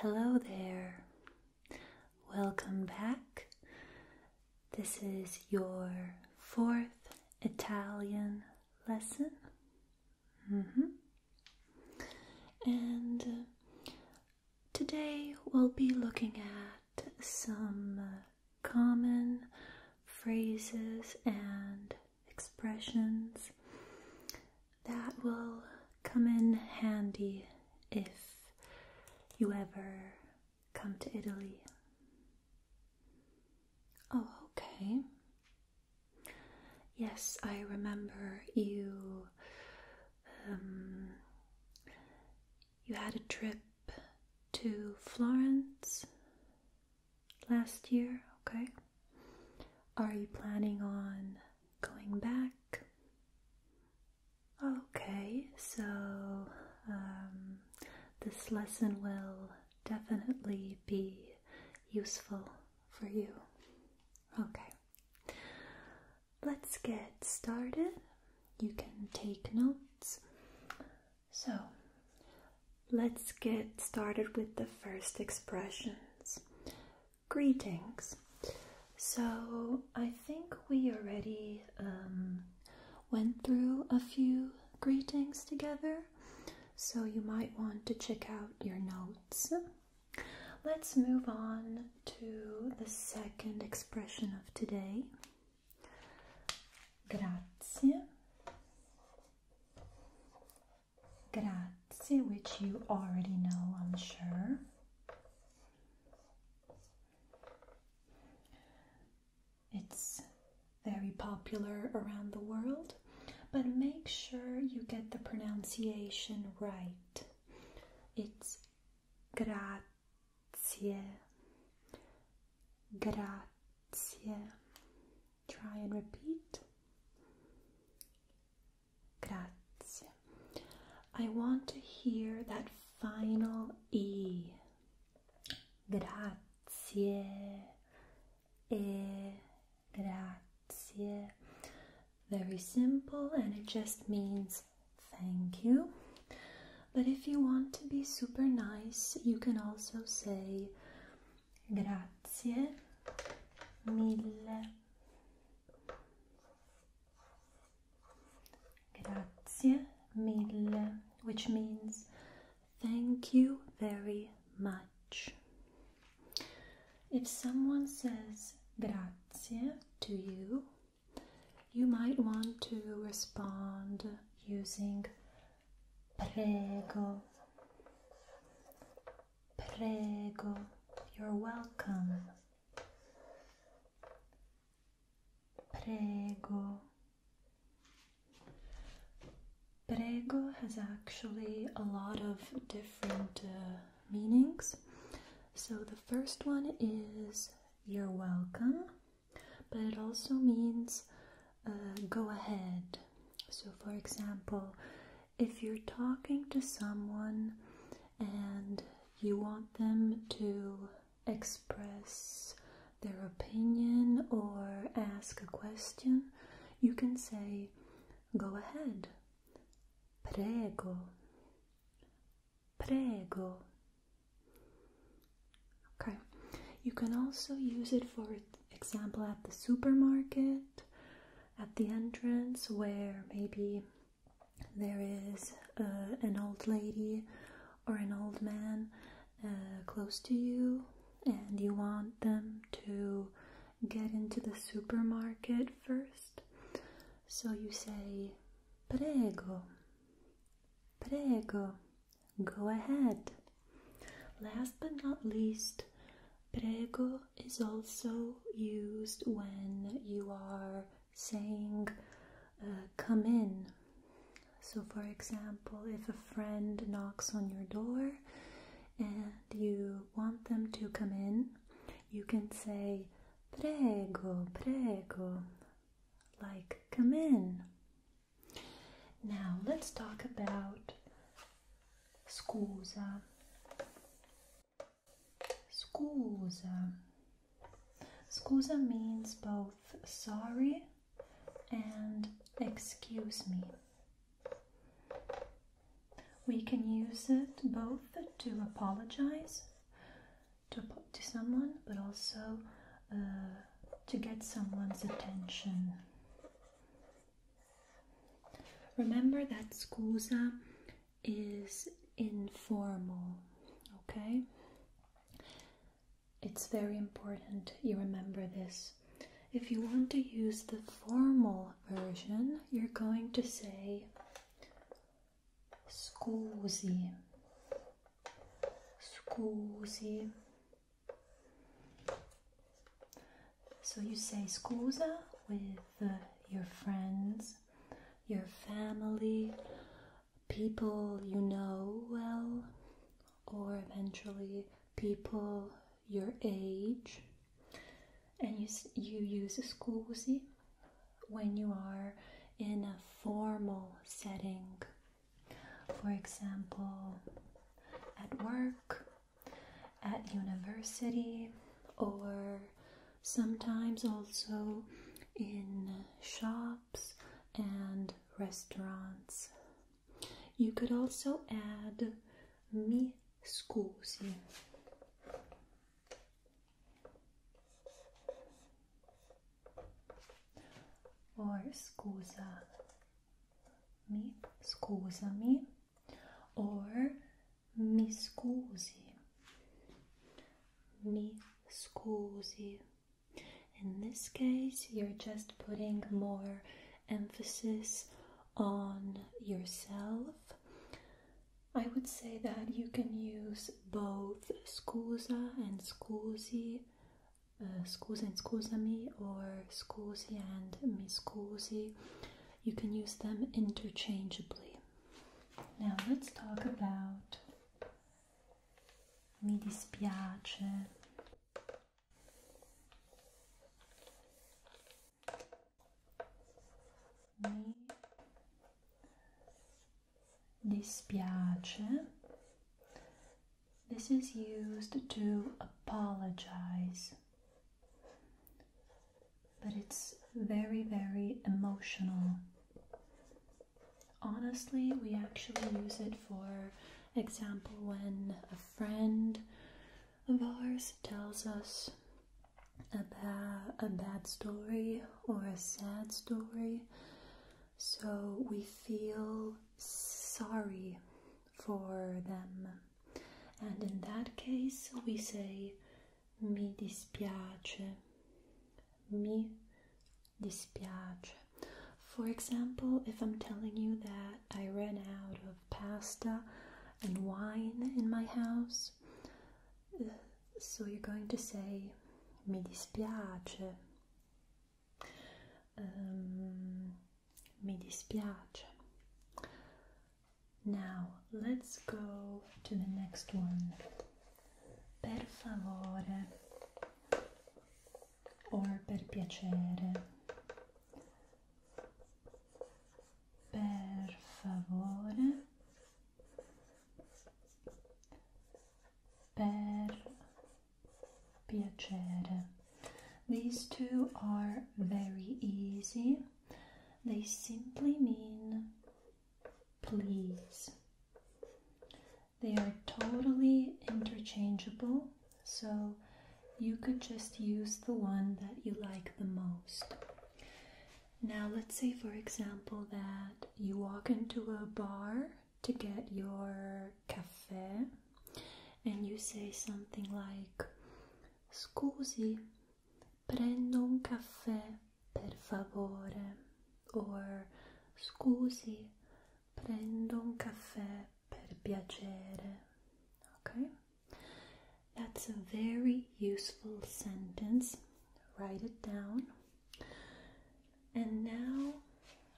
Hello there. Welcome back. This is your fourth Italian lesson. Mm-hmm. And uh, today we'll be looking at some uh, common phrases and expressions that will come in handy if you ever come to Italy. Oh, okay. Yes, I remember you. Um, you had a trip to Florence last year, okay? Are you planning on going back. Okay, so um, this lesson will definitely be useful for you. Okay, let's get started. You can take notes. So, let's get started with the first expressions. Greetings. So, I think we already um, went through a few greetings together, so you might want to check out your notes. Let's move on to the second expression of today. Grazie grazie, which you already know, I'm sure. It's very popular around the world, but make sure you get the pronunciation right. It's grazie, grazie. Try and repeat. Grazie. I want to hear that final E. Grazie. Grazie. Very simple and it just means thank you. But if you want to be super nice, you can also say grazie mille Grazie mille, which means thank you very much. If someone says grazie to you, you might want to respond using prego. Prego, you're welcome. Prego. Prego has actually a lot of different uh, meanings. So the first one is you're welcome, but it also means uh, go ahead. So, for example, if you're talking to someone and you want them to express their opinion or ask a question, you can say, Go ahead. Prego. Prego. Okay. You can also use it for example at the supermarket at the entrance where maybe there is uh, an old lady or an old man uh, close to you and you want them to get into the supermarket first. So you say, prego, prego, go ahead. Last but not least, Prego is also used when you are saying uh, come in. So, for example, if a friend knocks on your door and you want them to come in, you can say prego, prego, like come in. Now, let's talk about scusa. Scusa. Scusa means both sorry and excuse me. We can use it both to apologize to, someone, but also uh, to get someone's attention. Remember that scusa is informal, okay? It's very important you remember this. If you want to use the formal version, you're going to say scusi, scusi, so you say scusa with uh, your friends, your family, people you know well, or eventually people your age. And you, you use scusi when you are in a formal setting. For example, at work at university or sometimes also in shops and restaurants. You could also add mi scusi. Or scusa mi, scusa mi, or Mi scusi. Mi scusi. In this case, you're just putting more emphasis on yourself. I would say that you can use both scusa and scusi, uh, scusa and scusami, or scusi and mi scusi you can use them interchangeably. Now let's talk about mi dispiace. Mi dispiace. This is used to apologize but it's very, very emotional. Honestly, we actually use it for example when a friend of ours tells us a, bad story or a sad story. So we feel sorry for them and in that case we say mi dispiace, mi dispiace. For example, if I'm telling you that I ran out of pasta and wine in my house, so you're going to say mi dispiace. Um, mi dispiace. Now let's go to the next one. Per favore or per piacere. Per favore. Per piacere. These two are very easy they simply mean please. They are totally interchangeable, so you could just use the one that you like the most. Now, let's say, for example, that you walk into a bar to get your cafe and you say something like, Scusi, prendo un um caffè per favore or scusi prendo un um caffè per piacere okay that's a very useful sentence write it down and now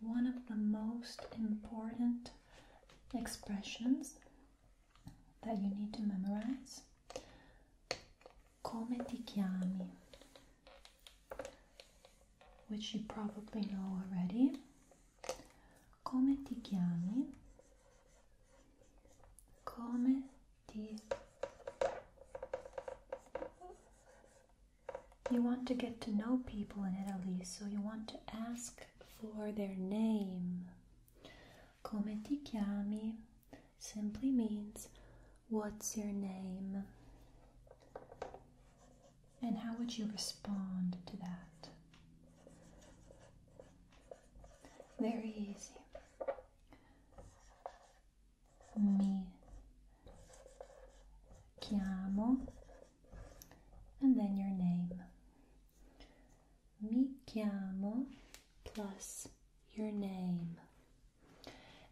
one of the most important expressions that you need to memorize. Come ti chiami? Which you probably know already. Come ti chiami? Come ti You want to get to know people in Italy, so you want to ask for their name. Come ti chiami simply means what's your name? And how would you respond to that? Very easy. Mi chiamo and then your name mi chiamo plus your name.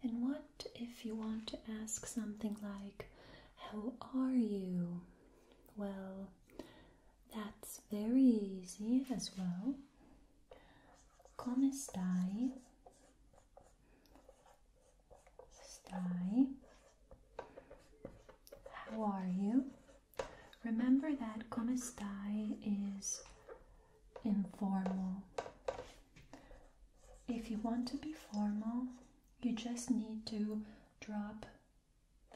And what if you want to ask something like, How are you? Well, that's very easy as well. Come stai? How are you? Remember that come stai is informal. If you want to be formal, you just need to drop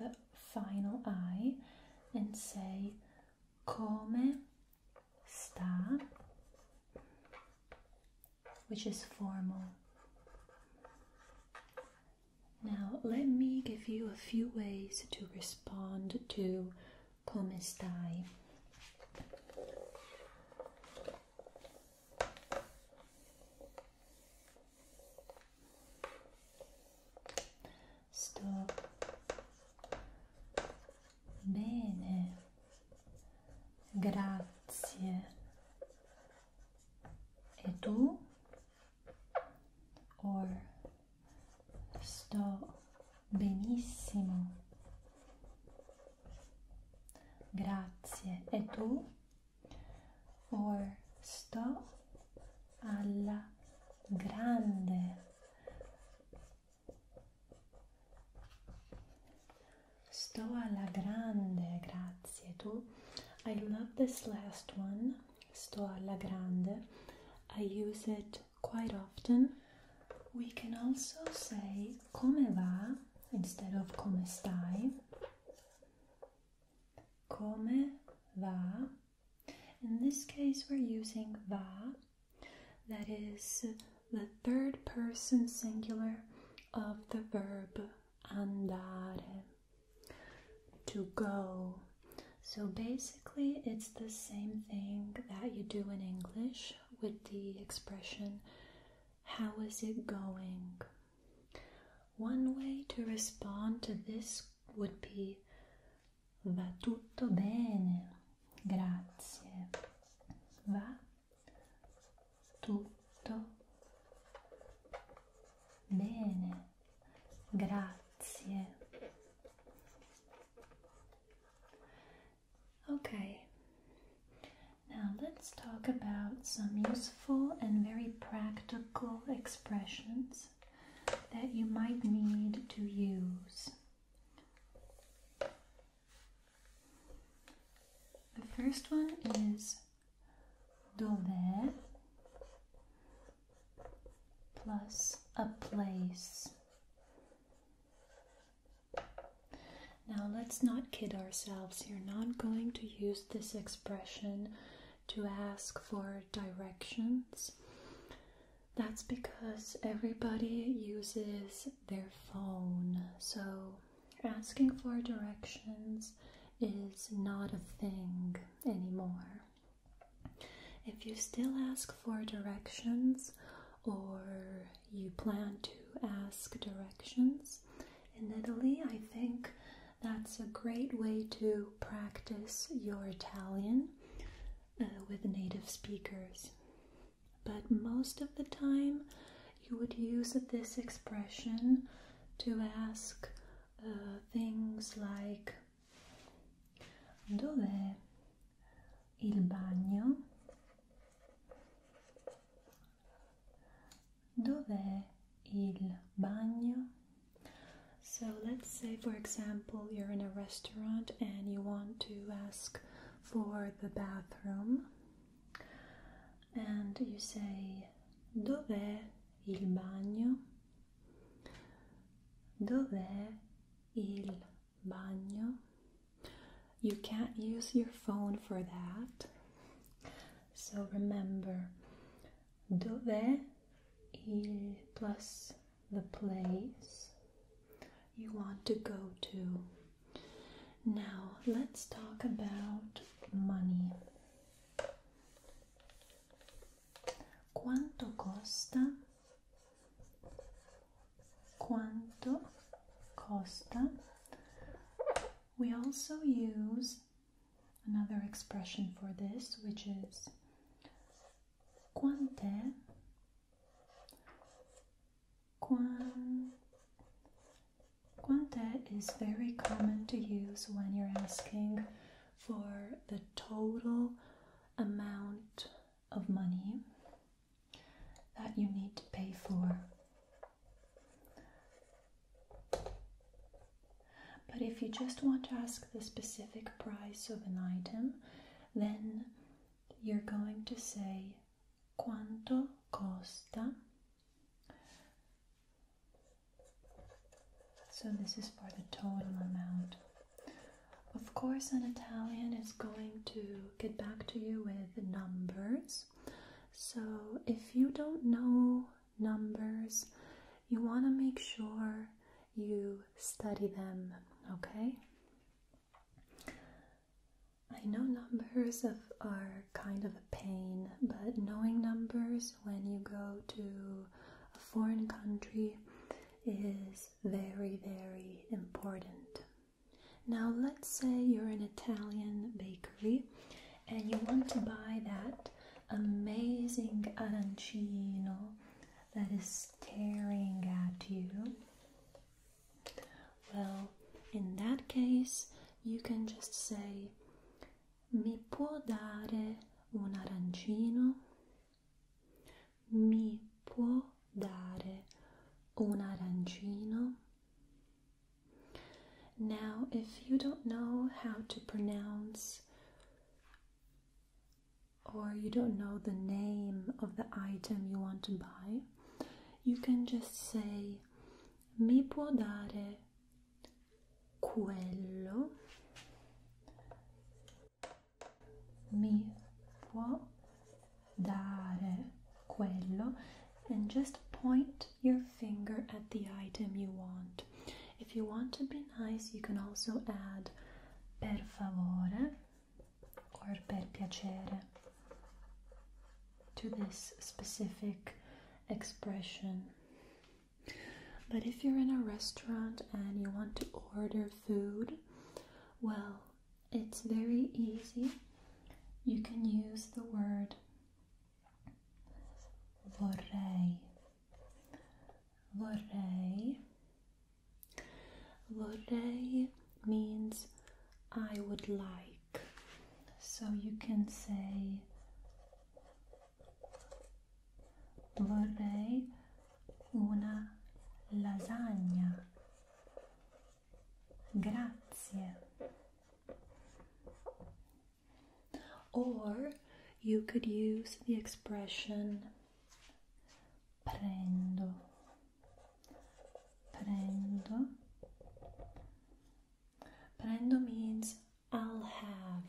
the final I and say come sta, which is formal. Now, let me give you a few ways to respond to come Sto bene, grazie. E tu? or sto benissimo grazie e tu or sto alla grande sto alla grande grazie tu I love this last one sto alla grande. I use it quite often. We can also say come va instead of come stai. Come va. In this case, we're using va, that is the third person singular of the verb andare to go. So basically, it's the same thing that you do in English with the expression, How is it going? One way to respond to this would be Va tutto bene, grazie. Va tutto bene, Grazie. Okay, now let's talk about some useful and very practical expressions that you might need to use. The first one is dove plus a place. Now let's not kid ourselves. You're not going to use this expression to ask for directions. That's because everybody uses their phone. So asking for directions is not a thing anymore. If you still ask for directions or you plan to ask directions in Italy, I think that's a great way to practice your Italian uh, with native speakers. But most of the time, you would use this expression to ask uh, things like dov'è il bagno dov'è il bagno so let's say for example you're in a restaurant and you want to ask for the bathroom and you say dov'è il bagno Dov'è il bagno? You can't use your phone for that. So remember, dov'è il plus the place you want to go to. Now, let's talk about money quanto costa quanto costa we also use another expression for this which is quant'è Quan, quant'è is very common to use when you're asking for the total amount of money that you need to pay for. But if you just want to ask the specific price of an item, then you're going to say quanto costa so this is for the total amount. Of course, an Italian is going to get back to you with numbers. So if you don't know numbers, you want to make sure you study them, okay? I know numbers are kind of a pain, but knowing numbers when you go to a foreign country is very, very important. Now, let's say you're an Italian bakery and you want to buy that amazing arancino that is staring at you. Well, in that case, you can just say, Mi può dare un arancino? Mi può dare un arancino? Now, if you don't know how to pronounce or you don't know the name of the item you want to buy, you can just say Mi può dare quello mi può dare quello and just point your finger at the item you want. If you want to be nice, you can also add per favore or per piacere to this specific expression. But if you're in a restaurant and you want to order food, well, it's very easy. You can use the word vorrei. Vorrei. Vorrei means I would like. So you can say vorrei una lasagna grazie or you could use the expression prendo prendo prendo means I'll have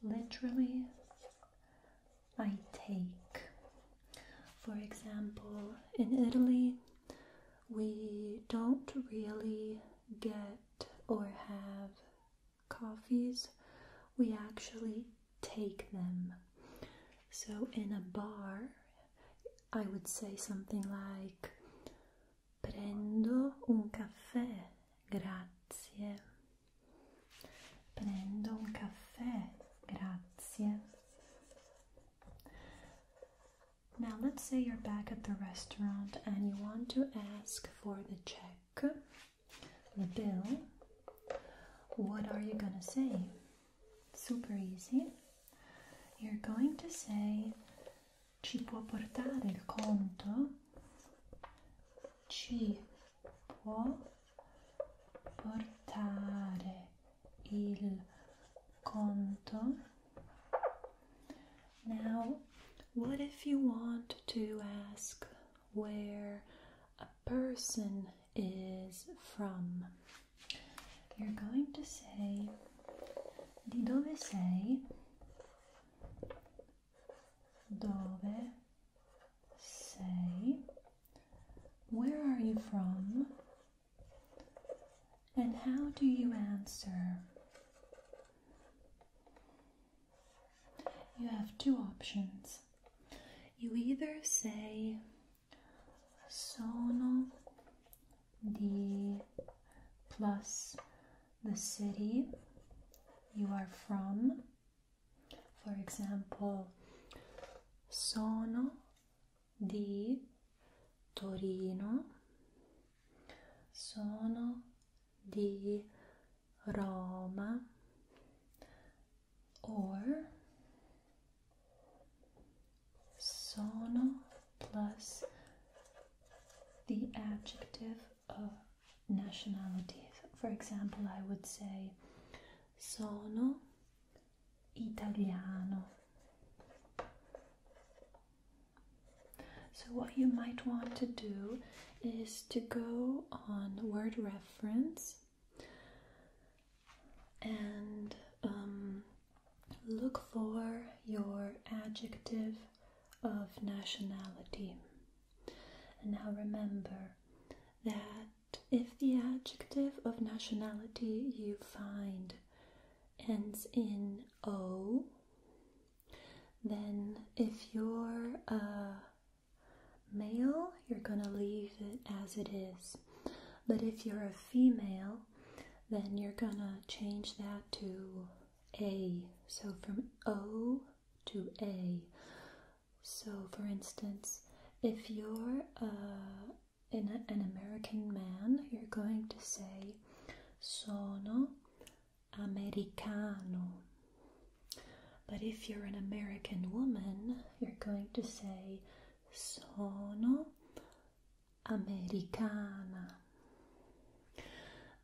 literally I take. For example, in Italy, we don't really get or have coffees, we actually take them. So, in a bar, I would say something like prendo un caffè grazie prendo un caffè grazie now let's say you're back at the restaurant and you want to ask for the check the bill what are you gonna say super easy you're going to say ci può portare il conto? Ci può portare il conto? Now, what if you want to ask where a person is from? You're going to say, di dove sei? dove sei? Where are you from? And how do you answer? You have two options. You either say sono di plus the city you are from. For example, sono di Torino, sono di Roma, or sono plus the adjective uh, nationalities. For example, I would say sono italiano. So, what you might want to do is to go on word reference and um, look for your adjective of nationality. And now remember that if the adjective of nationality you find ends in O, then if you're a male, you're gonna leave it as it is. But if you're a female, then you're gonna change that to a. So from O to A. So, for instance, if you're uh, in an American man, you're going to say sono americano. But if you're an American woman, you're going to say sono americana.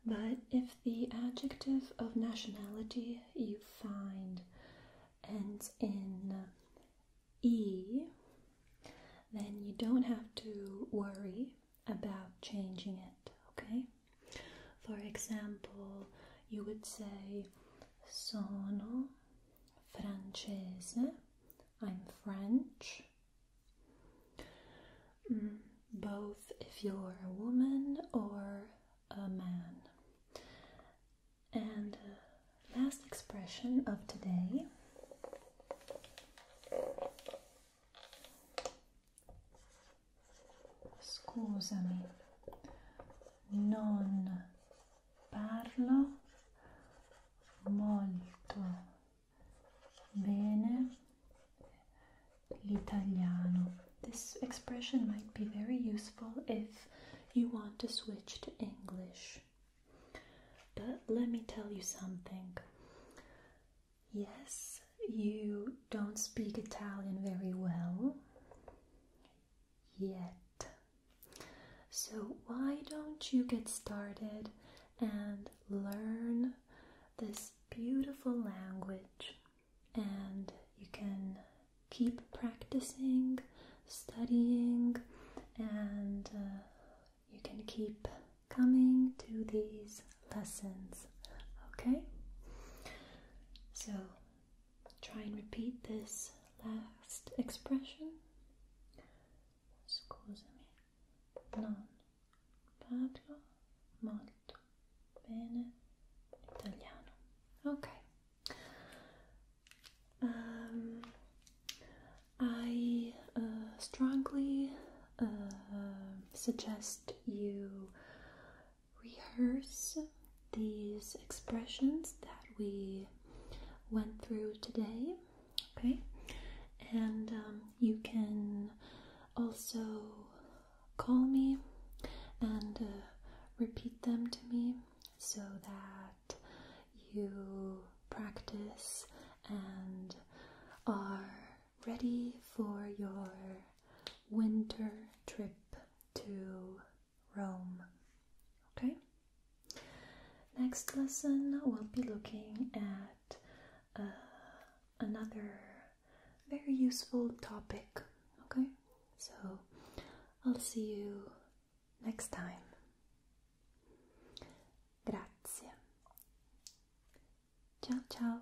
But if the adjective of nationality you find ends in E, then you don't have to worry about changing it, okay? For example, you would say sono francese, I'm French, Mm, both if you're a woman or a man. And uh, last expression of today. Scusami, non parlo molto Bene. L'italiano. This expression might be very useful if you want to switch to English. But let me tell you something. Yes, you don't speak Italian very well yet. So, why don't you get started and learn this beautiful language, and you can keep practicing, studying, and uh, you can keep coming to these lessons. Okay? So try and repeat this last expression. Non parlo molto bene italiano. Okay. Um, I uh, strongly uh, suggest you rehearse these expressions that we went through today. Okay, and um, you can also call me and uh, repeat them to me so that you practice and are ready for your winter trip to Rome. Okay? Next lesson, we'll be looking at uh, another very useful topic. Okay, so I'll see you next time. Grazie. Ciao, ciao.